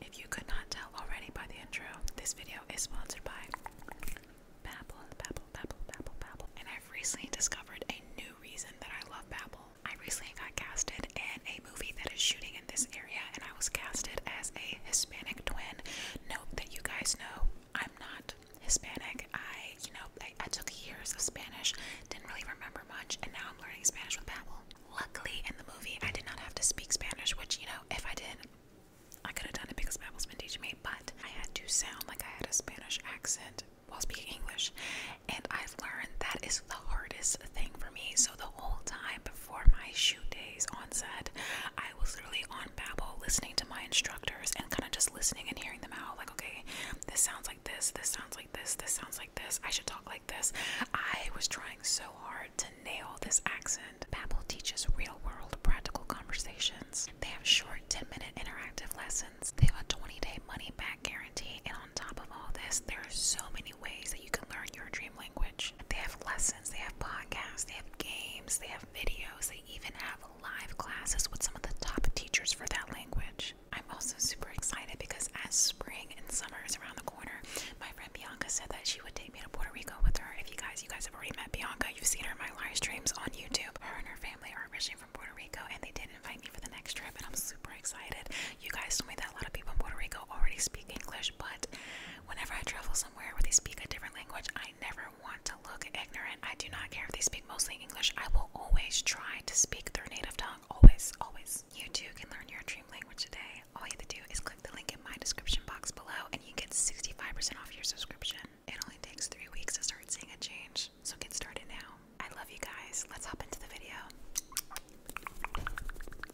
If you could not tell already by the intro, this video is sponsored by Babbel, Babbel, Babbel, Babbel, Babbel. And I've recently discovered a new reason that I love Babel. I recently got casted in a movie that is shooting in this area, and I was casted as a Hispanic twin. Note that you guys know I'm not Hispanic. I, you know, I took years of Spanish, didn't really remember much, and now I'm learning Spanish with Babel. Luckily, in the movie, I did not have to speak Spanish, which, you know, if I did, I could have done it because Babel's been teaching me, but I had to sound like I had a Spanish accent while speaking English. And I've learned that is the hardest thing for me. So the whole time before my shoot days on set, I was literally on Babbel listening to my instructors and kind of just listening and hearing them out. Like, okay, this sounds like this, this sounds like this, this sounds like this. I should talk like this. I was trying so hard to nail this accent. Babbel teaches real-world practical conversations. They have short 10-minute interactive lessons. They have a 20-day money-back guarantee, and on top of all this, there are so many ways that you can learn your dream language. They have lessons, they have podcasts, they have games, they have videos, they even have live classes with some of the top teachers for that language. I'm also super excited because as spring and summer is around the corner, my friend Bianca said that she would take me to Puerto Rico with her. If you guys, you guys have already met Bianca, you've seen her in my live streams on YouTube. Her and her family are originally from Puerto Rico and they did invite me for the next trip and I'm super excited. You guys told me that a lot of people in Puerto Rico already speak English, but Whenever I travel somewhere where they speak a different language, I never want to look ignorant. I do not care if they speak mostly English. I will always try to speak their native tongue. Always, always. You too can learn your dream language today. All you have to do is click the link in my description box below and you get 65% off your subscription. It only takes three weeks to start seeing a change. So get started now. I love you guys. Let's hop into the video.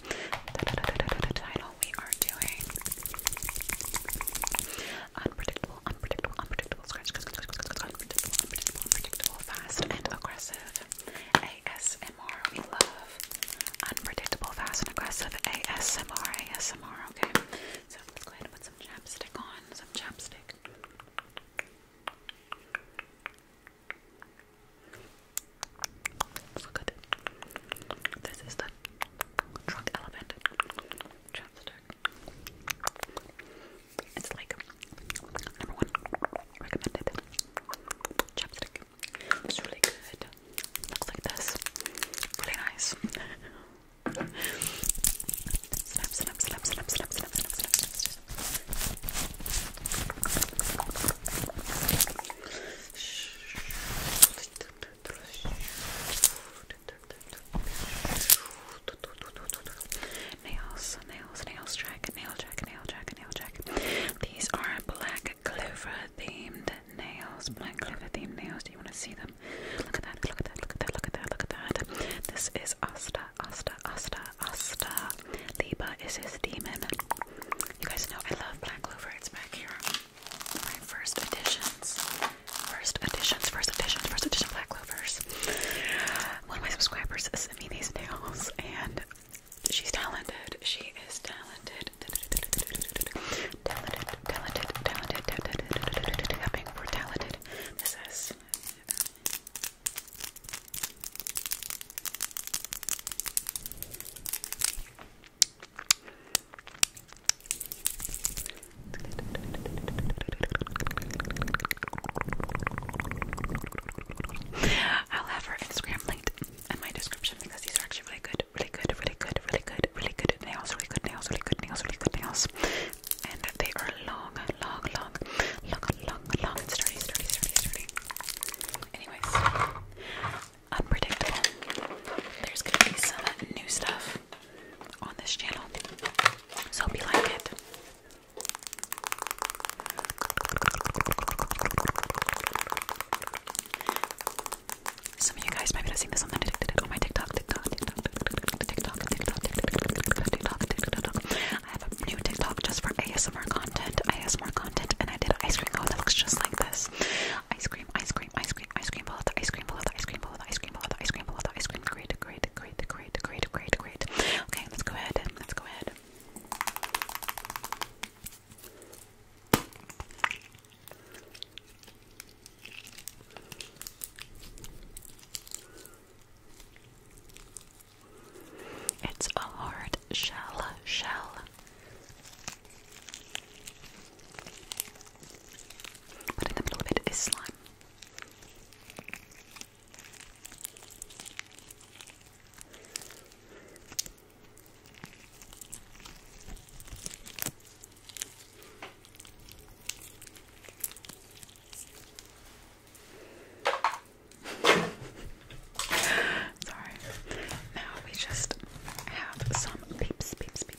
da, we are doing unpredictable, unpredictable, unpredictable, scratch, scratch, scratch, scratch, scratch, unpredictable, unpredictable, unpredictable, fast and aggressive ASMR. We love unpredictable, fast and aggressive ASMR, ASMR. Okay, so let's go ahead and put some chapstick on, some chapstick. It's good. This is the drunk elephant chapstick. It's like number one recommended chapstick. It's really good. Looks like this. Really nice. snap, snap, snap, snap, snap, snap, snap, snap, Nails, nails, nails track, nail track, nail track, nail track. These are black clover themed nails. Black clover themed nails. Do you want to see them? Look at that, look at that, look at that, look at that, look at that. This is Asta, Asta, Asta, Asta. Liba is his demon. You guys know I love black clover, it's back here my first editions, first editions, first editions, first edition Black Clovers. One of my subscribers sent me these nails, and she's talented. She is talented. Talented, talented, talented, talented, tapping for talented. This I'll have her Instagram linked in my description because these are actually really good, really good, really good, really good, really good nails, really good nails, really good nails, really good nails. And they are long, long, long, long, long, long, sturdy, sturdy, sturdy, sturdy. Anyways, unpredictable. There's gonna be some new stuff on this channel, so hope like it. Some of you guys might be seeing this on, the, on oh, my TikTok, TikTok, TikTok, TikTok, TikTok, TikTok, TikTok, TikTok, TikTok. I have a new TikTok just for ASMR content, ASMR content, and I did ice cream. Oh, that looks just like this. Ice cream, ice cream cream, ice cream, ice cream, below the ice cream, below the ice cream, below the ice cream, below the ice cream, below the ice cream. Great, great, great, great, great, great, great. Okay, let's go ahead. Let's go ahead. It's a hard shell, shell. But in the middle of it is slime. Sorry. Now we just have some peeps, peeps, peeps,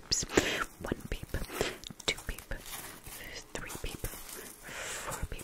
peeps. One peep, two peep, three peep, four peep.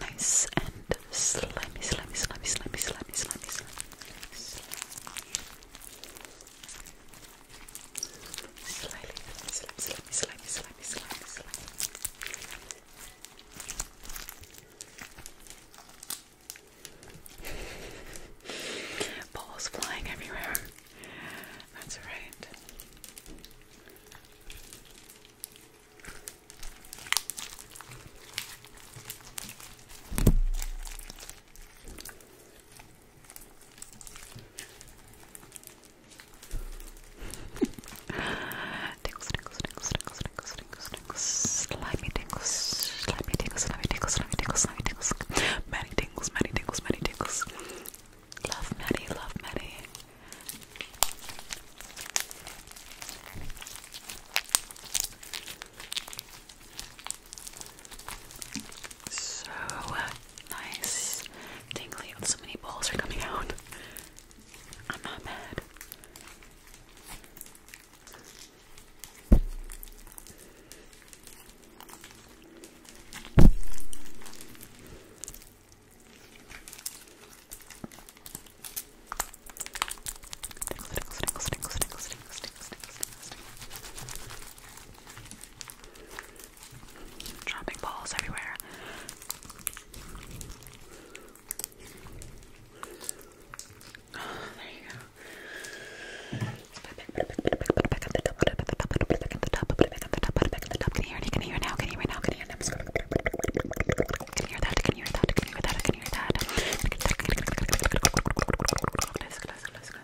Nice and slimy, slimy, slimy, slimy, slimy, slimy, slimy. Slimy, slimy, slimy, slimy, slimy, slimy, slimy. Balls flying everywhere. That's right. Tickles, tickles, tickles, tickles, tickles, tickles, tickles, slimy tickles, slimy tickles, slimy tickles, slimy tickles, many tingles, many tingles, many tingles. Love Maddie, love Maddie. So uh, nice. Tingly. so many balls are coming out. I'm not mad. Dropping balls everywhere. there you go can hear that, I can hear that, I can hear that, I can hear that. Let's go, let's go, let's go, let's go.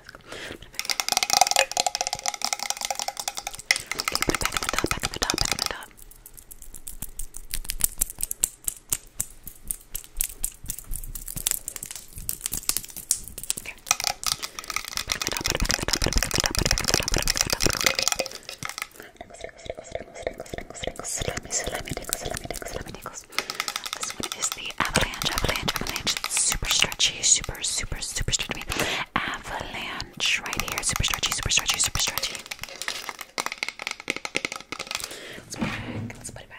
Okay, put it back in the top, back in the top, back in the top. Okay. Put it back in the top, put it back put it back put it back put it back put it back Tingles, tingles, tingles, tingles, tingles, tingles, slimy, slimy, tingles, slimy, tingles, slimy, tingles. This one is the Avalanche, Avalanche, Avalanche. It's super stretchy, super, super, super stretchy. Avalanche right here. Super stretchy, super stretchy, super stretchy. Let's put it back. Let's put it back.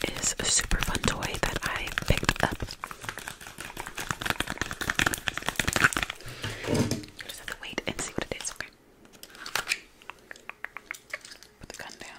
This is a super fun toy that I picked up. wait and see what it is, okay? Put the gun down.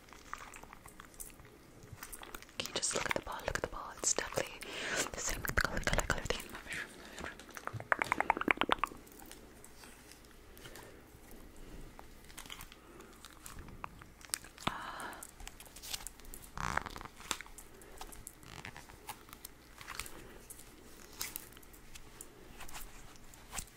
Can you just look at the ball? Look at the ball. It's definitely the same color, color, color thing. Uh,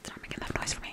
It's not making that noise for me.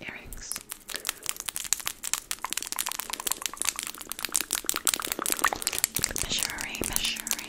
Earrings. Measuring, measuring,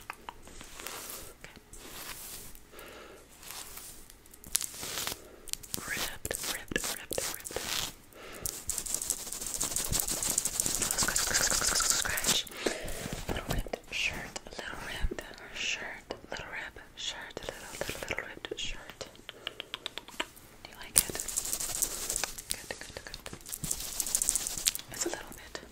Okay. Ripped, ripped, ripped, ripped. Scratch. Little ripped shirt, little ripped shirt, little ripped shirt, little, little, little ripped shirt. Do you like it? Good, good, good. It's a little bit.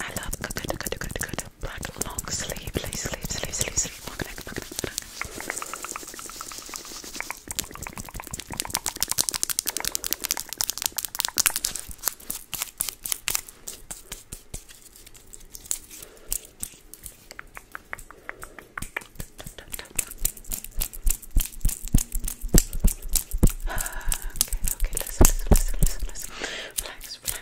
I love good, good, good, good, good black long sleeve, sleeve, sleeve, sleeve, sleeve, sleeve, long neck, long neck, long neck. Okay, okay, listen, listen, listen, listen, listen. Relax, relax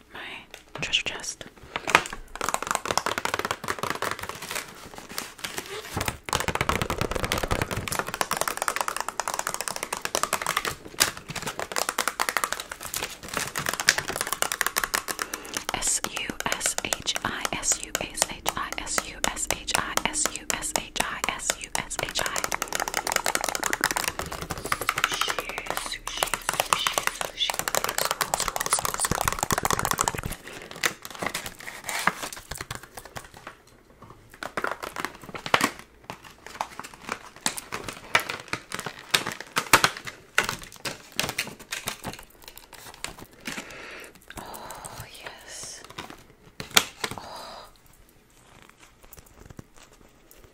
my treasure chest. S U S H I S U S H I S U S H I S U S H I S U S H I sushi, sushi, sushi. Oh, yes. Oh.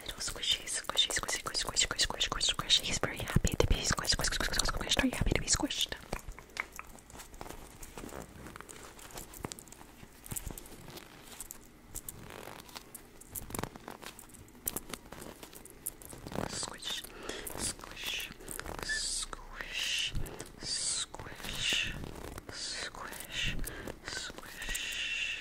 Little squishy, squishy, squishy, squishy, squishy, squishy, squishy, squishy, squishy. He's very happy to be squished, squished, squished, squished, squished. Are you happy to be squished? Squish, squish, squish, Squish, squish, squish. Squish, squish,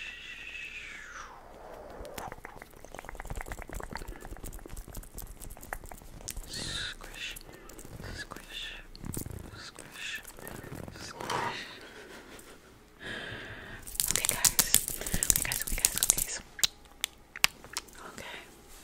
squish, squish. Okay, guys. Okay, guys. Okay, guys. Okay, so. Okay.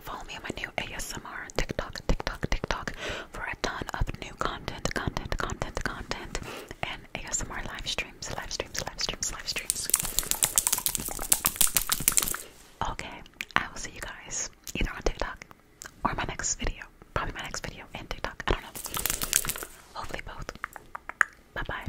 follow me on my new ASMR TikTok, TikTok, TikTok for a ton of new content, content, content, content, and ASMR live streams, live streams, live streams, live streams. Okay, I will see you guys either on TikTok or my next video. Probably my next video and TikTok. I don't know. Hopefully both. Bye bye.